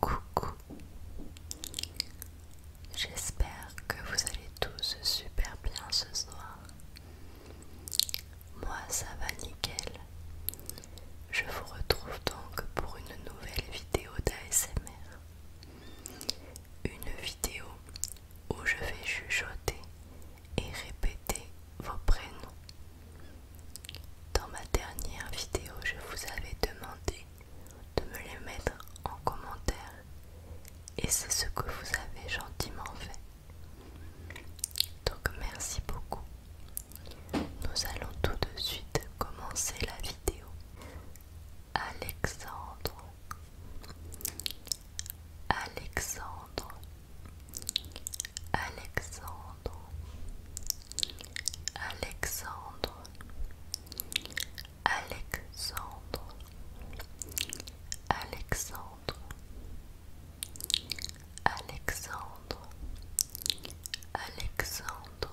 Coucou J'espère que vous allez tous super bien ce soir. Moi ça va nickel. Je vous retrouve donc pour une nouvelle vidéo d'ASMR. Une vidéo où je vais chuchoter et répéter vos prénoms. Dans ma dernière vidéo, je vous avais demandé de me les mettre en commentaire et c'est ce que vous avez gentiment fait. Donc merci beaucoup. Nous allons tout de suite commencer la vidéo. Alexandre. Alexandre Alexandre Alexandre Alexandre Alexandre Alexandre Alexandre Alexandre Alexandre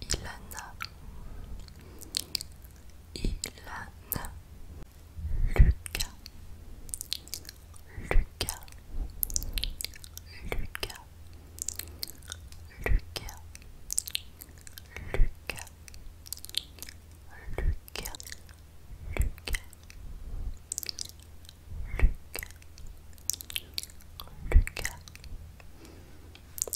Ilana Ilana Lucas Lucas Lucas Lucas Lucas Lucas Lucas Lucas Lucas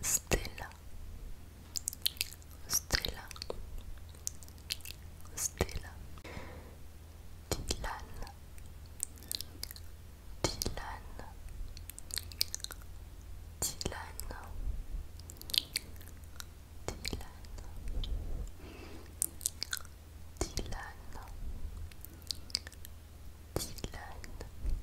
Stella Stella Stella Dylan Dylan Dylan Dylan Dylan Dylan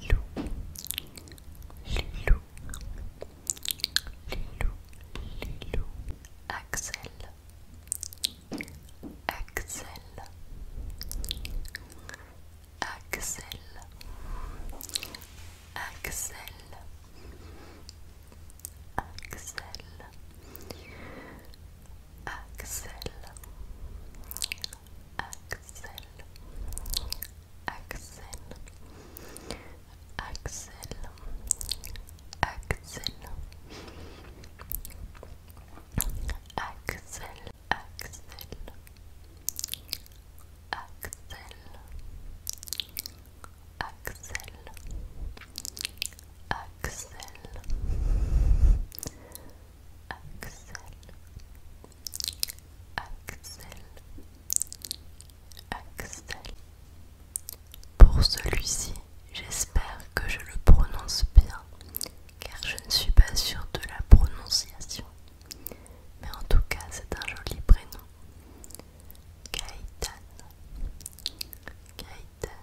Lilou, Lilou, Lilou, Lilou, Axel, Axel, Axel, Axel, Axel. Axel, Axel, Axel, Axel, Axel, Axel, Axel, Axel, Axel, Axel, Axel, Axel, Axel. Pour celui-ci, j'espère que je le prononce bien, car je ne suis pas sûre de la prononciation. Mais en tout cas, c'est un joli prénom. Gaëtan, Gaëtan,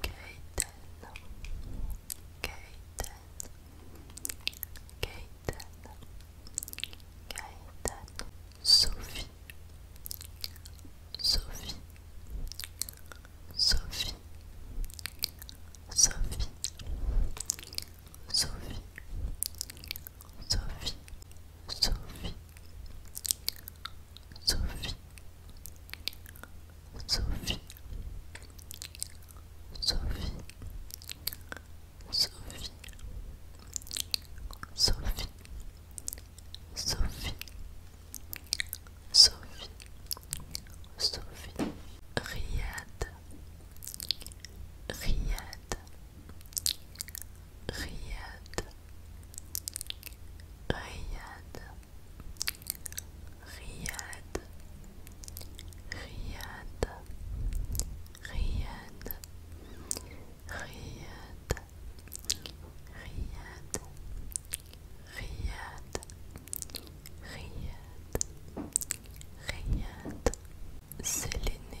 Gaten, Gaten, Gaten, Gaten, Sophie, Sophie, Sophie, Sophie, Sophie, Sophie. Sophie Sophie Sophie Sophie Sophie Sophie Sophie Sophie Sophie Riyad Riyad Riyad Riyad, Riyad, Riyad, Riyad, Riyad, Riyad, Riyad, Riyad, Riyad, Séléné,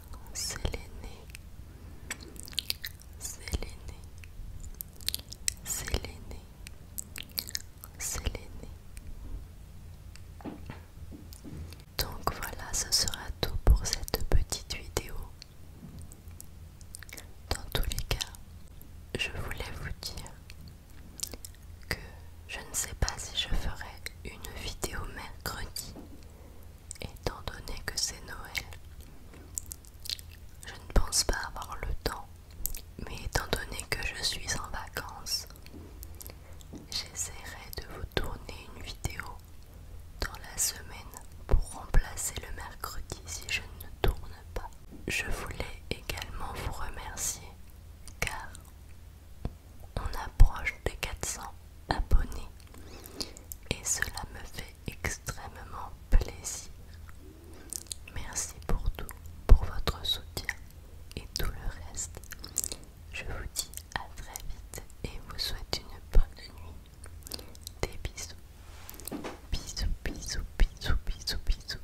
c'est C'est l'aîné C'est l'aîné Donc voilà, ce sera tout pour cette petite vidéo. Dans tous les cas, je voulais vous dire que je ne sais pas si je ferai une vidéo mercredi étant donné que c'est Noël. Je ne pense pas avoir le temps, mais étant donné que je suis en vacances, j'essaierai de vous tourner une vidéo dans la semaine pour remplacer le mercredi si je ne tourne pas. Je voulais également vous remercier car on approche des 400 abonnés et cela me fait extrêmement plaisir. Merci pour tout, pour votre soutien et tout le reste. Je vous dis à très vite et vous souhaite une bonne nuit. Des bisous. Bisous, bisous, bisous, bisous, bisous.